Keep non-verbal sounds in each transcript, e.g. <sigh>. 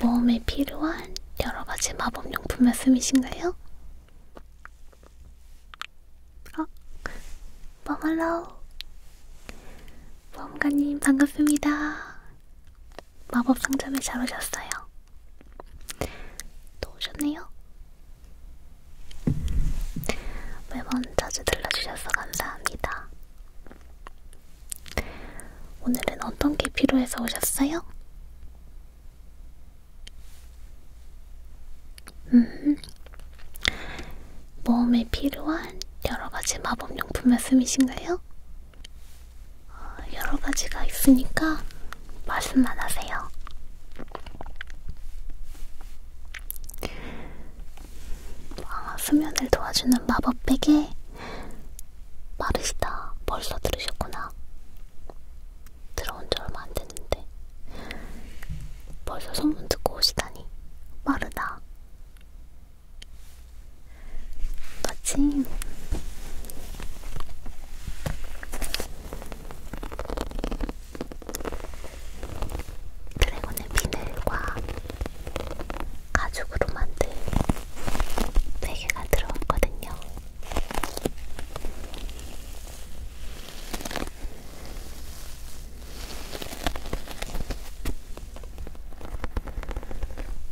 몸에 필요한 여러 가지 마법 용품 말씀이신가요? 어, 멍할로우 모험가님 반갑습니다. 마법 상점에 잘 오셨어요. 또 오셨네요. 매번 자주 들러주셔서 감사합니다. 오늘은 어떤 게 필요해서 오셨어요? 음, 몸에 필요한 여러 가지 마법용품 말씀이신가요? 어, 여러 가지가 있으니까 말씀만 하세요. 아, 수면을 도와주는 마법 베개 마르시다. 벌써 들으셨구나. 들어온 지 얼마 안 됐는데. 벌써 소문 듣고 오시다니. 마르다. 마침 드래곤의 비늘과 가죽으로 만든 베개가 들어왔거든요.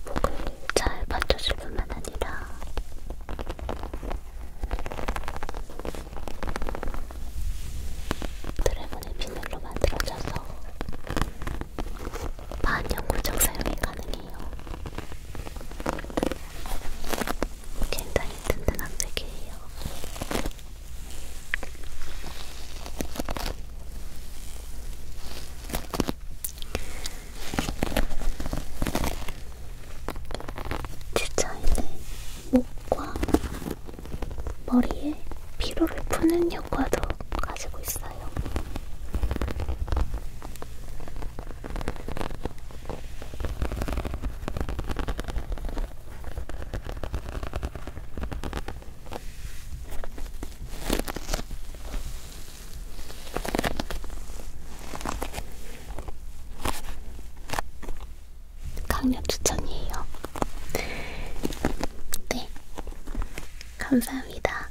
목을 잘 받쳐줄 뿐만 아니라 드래곤의 비늘로 만들어져서 반영구적 사용이 가능해요. 굉장히 든든한 책이에요. 지쳐있는 목과 머리에 피로를 푸는 효과도 가지고 있어요. 강력 추천이에요. 네, 감사합니다.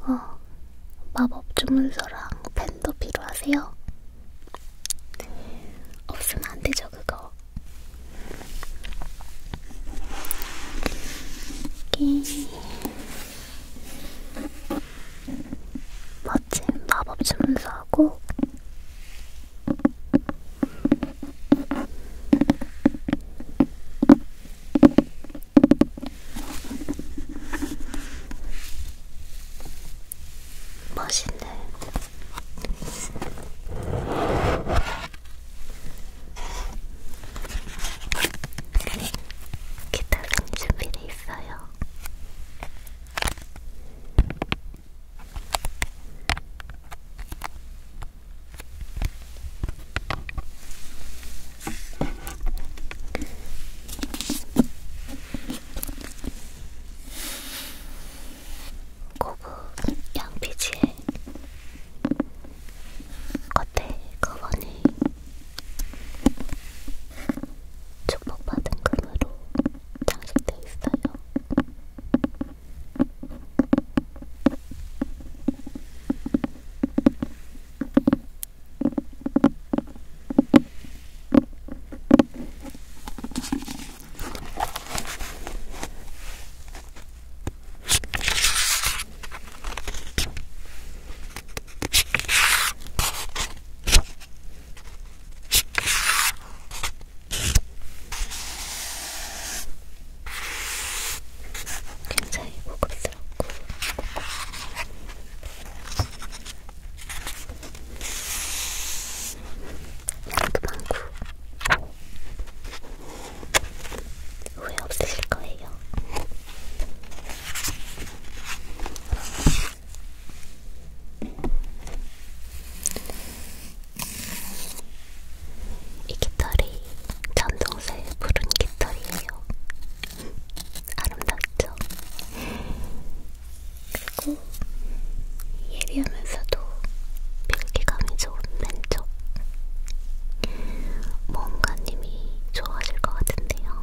어, 마법 주문서랑 펜도 필요하세요? 없으면 안 되죠, 그거. 이렇게. 네. 멋진 마법 주문서하고 멋있네. 기타 선준비를 있어요. 고급 양피지에 겉에 커버니 축복받은 금으로 장식돼 있어요. 굉장히 고급스럽고 양도 많고 후회 없으실 거예요. 이 깃털이 전동색 푸른 깃털이에요. 아름답죠? 그리고 예리하면서도 밀기감이 좋은 맨쪽 모험가님이 좋아하실 것 같은데요.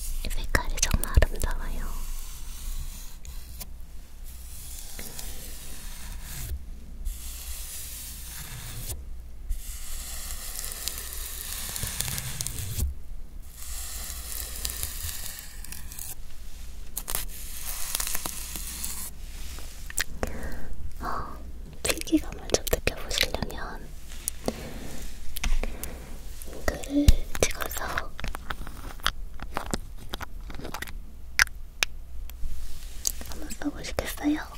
이 색깔이 정말 아름다워요. 어, 필기감을 좀 느껴보시려면 글을 찍어서 한번 써보시겠어요?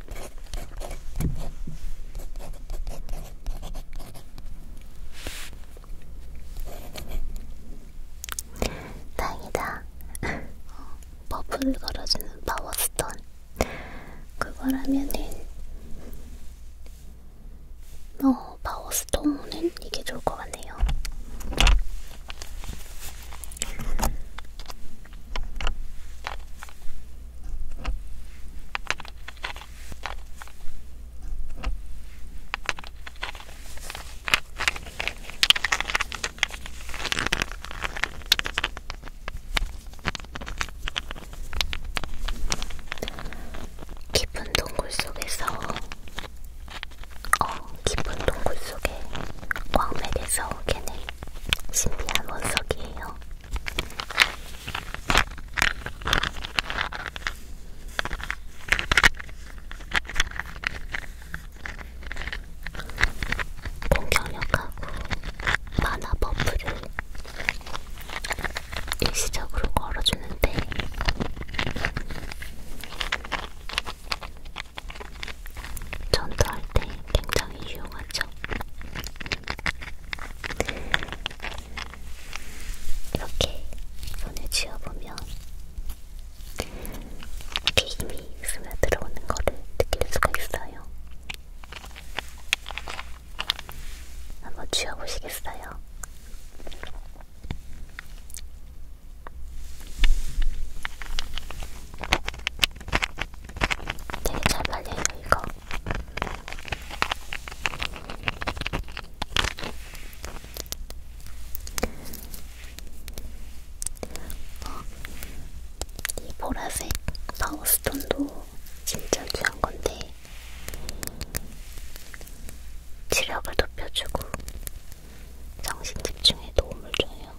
다행이다. <laughs> 버프를 걸어주는 파워스톤. 그거라면은, 어, 파워스톤은 이게 좋을 것 같네요. 깊은 동굴 속에서 어 깊은 동굴 속에 광맥에서 오게 는 신비한 원석이에요. 공격력하고 만화 버프를 일시적으로 걸어주는데 전투할 때 굉장히 유용하죠. 이렇게 손을 쥐어보면 이렇게 힘이 스며들어오는 거를 느낄 수가 있어요. 한번 쥐어보시겠어요? 되게 잘 발려요 이거. 어, 이 보라색 파우스톤도 진짜 귀한 건데 시력을 높여주고 정신 집중에 도움을 줘요.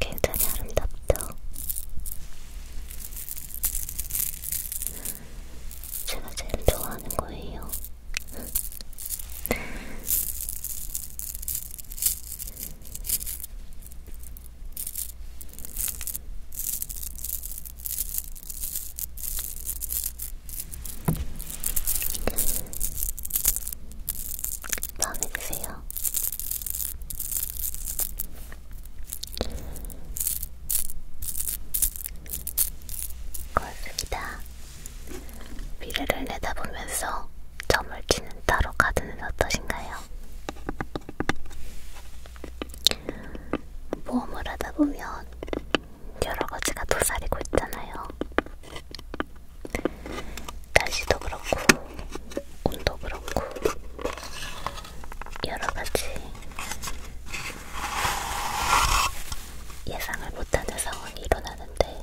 굉장히 아름답죠? 제가 제일 좋아하는 거예요. 마음에 드세요? 고맙습니다. 미래를 내다보면서 점을 치는 따로 카드는 어떠신가요? 모험을 하다 보면 여러 가지가 도사리고 있잖아요. 날씨도 그렇고, 운도 그렇고, 여러 가지 예상을 못하는 상황이 일어나는데,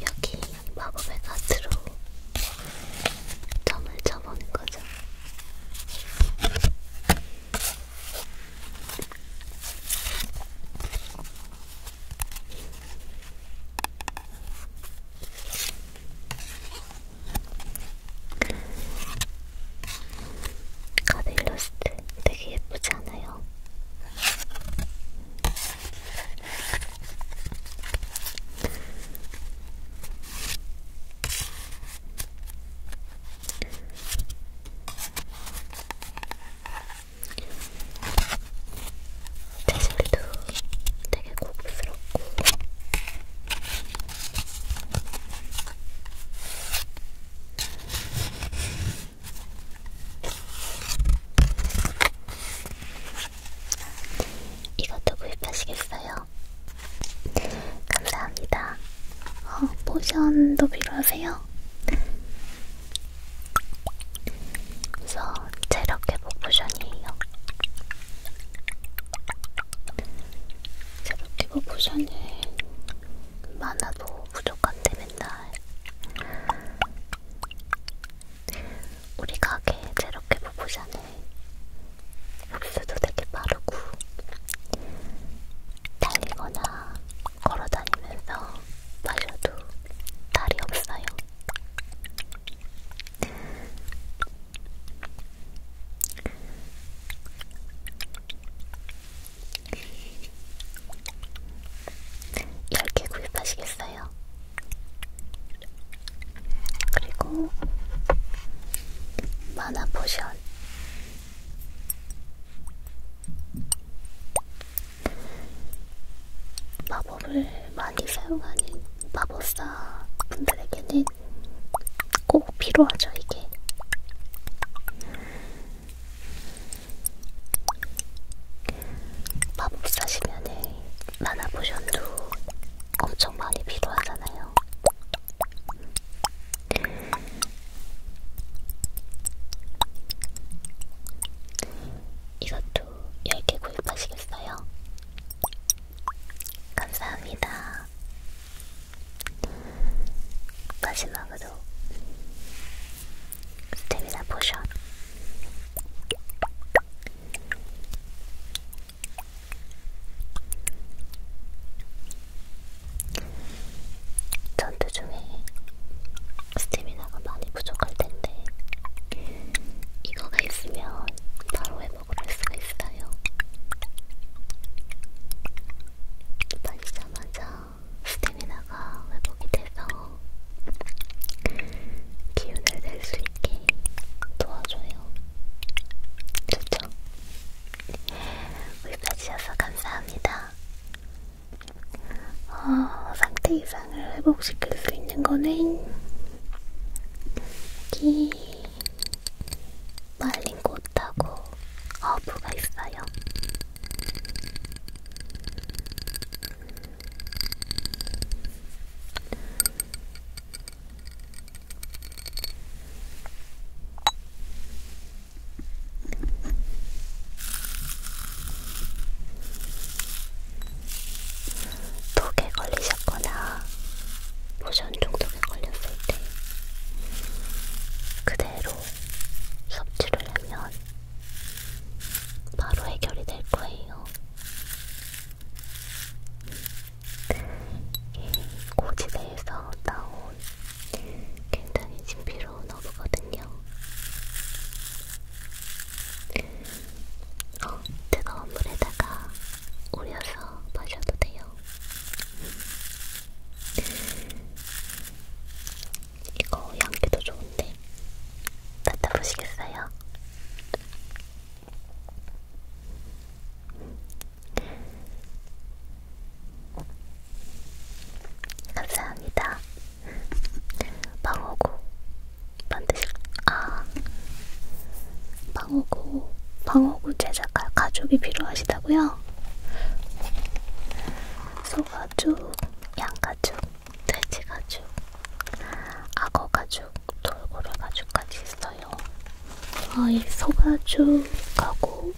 여기 마법의 가트로 점을 쳐보는 거죠. 가드 일러스트 되게 예쁘지 않아요? 거예요. 제 소리도 되게 고급스럽고 이것도 구입하시겠어요? 감사합니다. 어, 포션도 필요하세요? 그래서 체력 회복 포션이에요. 체력 회복 포션은 많아도 부족한데 맨날 우리 가게 제로캐 보보잖아요 흡수도 되게 빠르고 달리거나 걸어다니면서 마셔도 달이 없어요. 10개 구입하시겠어요? 그리고 마나 포션 마법을 많이 사용하는 마법사 분들에게는 꼭 필요하죠 이게 마법사 시면에 만화 보션도 엄청 많이 필요하잖아요. 이것도 10개 구입하시겠어요? 감사합니다. 마지막으로 스테미나 포션 전투 중에 스테미나가 많이 부족할 텐데 이거가 있으면 바로 회복을 할 수가 있어요. 빠지자마자 스태미나가 회복이 돼서 기운을 낼 수 있게 도와줘요. 좋죠? 구입해주셔서 감사합니다. 어, 상태 이상을 회복시킬 수 있는 거는 여기 말린 꽃하고 허브가 있어요. 독에 걸리셨거나 로션 중독에 걸렸을 때 그대로 섭취를 하면 바로 해결이 될 거예요. 고지대에서 나온 굉장히 신비로운 어부거든요. 어, 뜨거운 물에다가 우려서 마셔도 돼요. 이거 향기도 좋은데 맡아보시겠어요? 감사합니다. 방어구 만드실 아 방어구 방어구 제작할 가죽이 필요하시다고요? 있어요. 소가죽, 양가죽, 돼지가죽, 악어가죽, 돌고래가죽까지 있어요. 어, 이 소가죽하고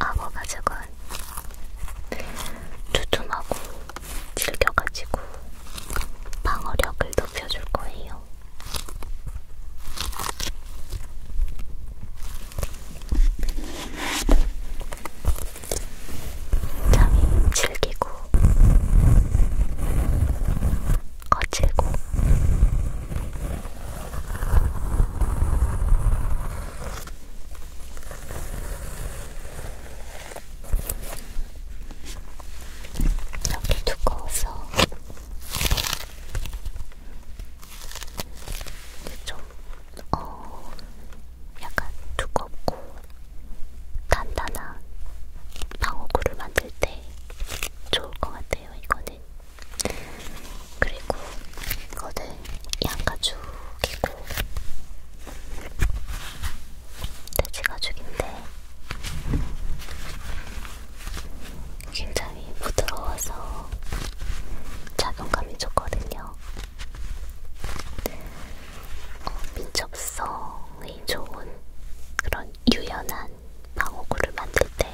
악어가죽은 두툼하고 질겨가지고 방어력을 높여줄 거예요. 잠이 질기고 거칠고 이렇게 두꺼워서 좀, 어, 약간 두껍고 단단한 방어구를 만들 때 좋을 것 같아요, 이거는. 그리고 이거는 양가죽이고, 돼지가죽인데, 굉장히 굉장히 부드러워서 작용감이 좋거든요. 어, 민첩성이 좋은 그런 유연한 방어구를 만들 때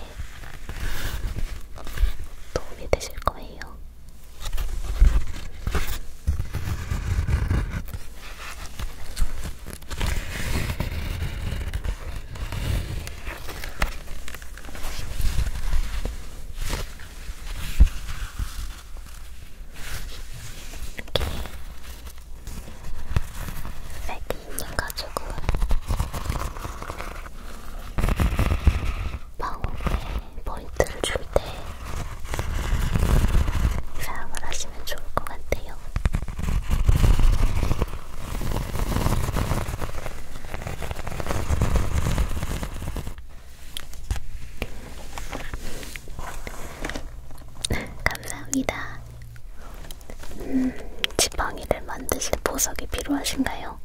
도움이 되실 거예요. 세팅해가지고 방울에 포인트를 줄 때 사용을 하시면 좋을 것 같아요. 감사합니다. 음, 지팡이를 만드실 보석이 필요하신가요?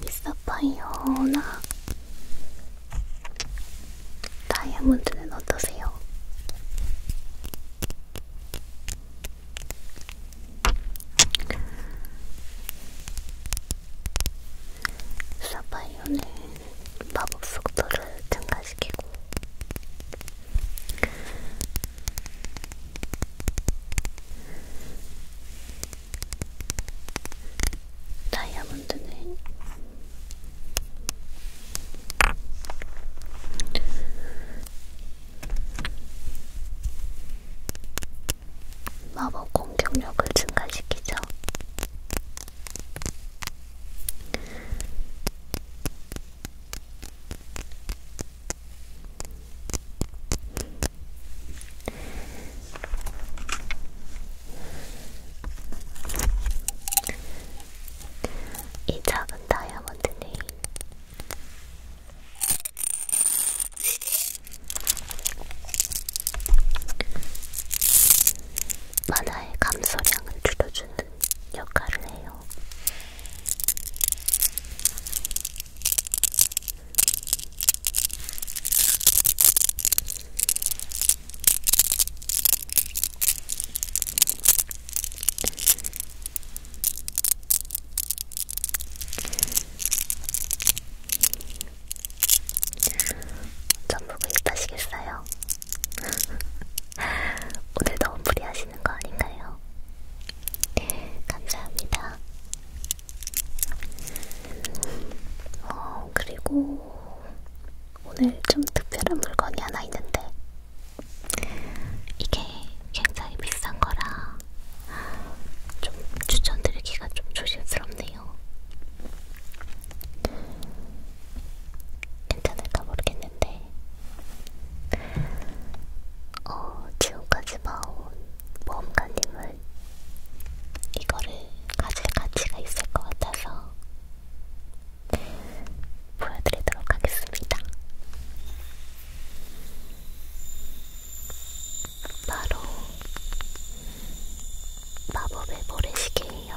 미사파이어나 다이아몬드는 어떠세요? 사바이오는 마법 속도를 증가시키고 다이아몬드는 마법 공격력을 증가시키죠. 이 작은 다이아몬드는 만화의 감소량을 줄여주는 역할을 해요. 전 보고 있다시겠어요? 오늘 너무 무리하시는 거 아닌가요? 감사합니다. 어, 그리고 오늘 좀 특별한 물건이 하나 있는데 이게 굉장히 비싼 거라 좀 추천드리기가 좀 조심스럽네요. 괜찮을까 모르겠는데 어, 지금까지 봐온 모험가님은 이거를 가질 가치가 있을 것 같아서 보여드리도록 하겠습니다. 바로 마법의 모래시계예요.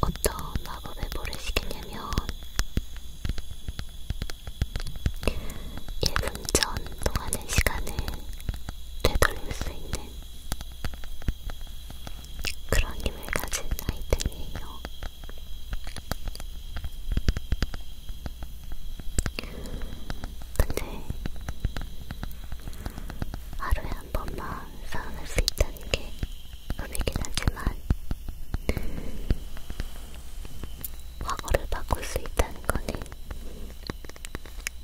어떤 마법의 모래시계냐면 1분 전 동안의 시간을 되돌릴 수 있는 그런 힘을 가진 아이템이에요. 근데 하루에 한 번만 사용할 수 있다는 게 의미긴 하지만 과거를 바꿀 수 있다는 거는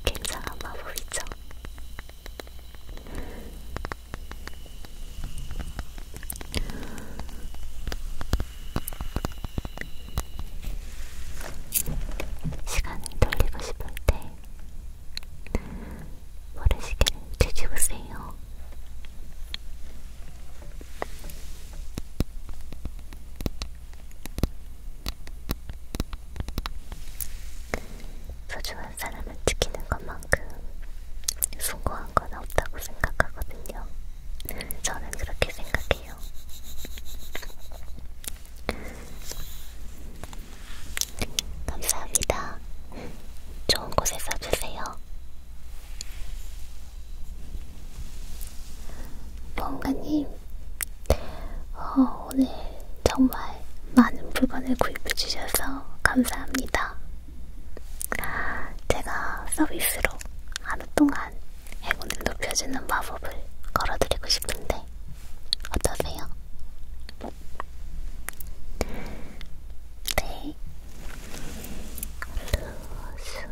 굉장한 마법이죠. 시간을 돌리고 싶을 때 모래시계를 뒤집으세요. 소중한 사람을 지키는 것만큼 숭고한 건 없다고 생각하거든요. 저는 그렇게 생각해요. 감사합니다. 좋은 곳에 써주세요. 보험가님, 어, 오늘 정말 많은 물건을 구입해주셔서 감사합니다. 제가 서비스로 하루 동안 행운을 높여주는 마법을 걸어드리고 싶은데 어떠세요? 네. 루스네.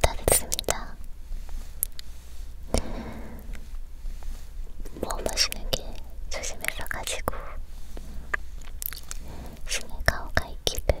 다 됐습니다. 뭐 마시는 게 조심해서 가지고 신의 가오가 있기를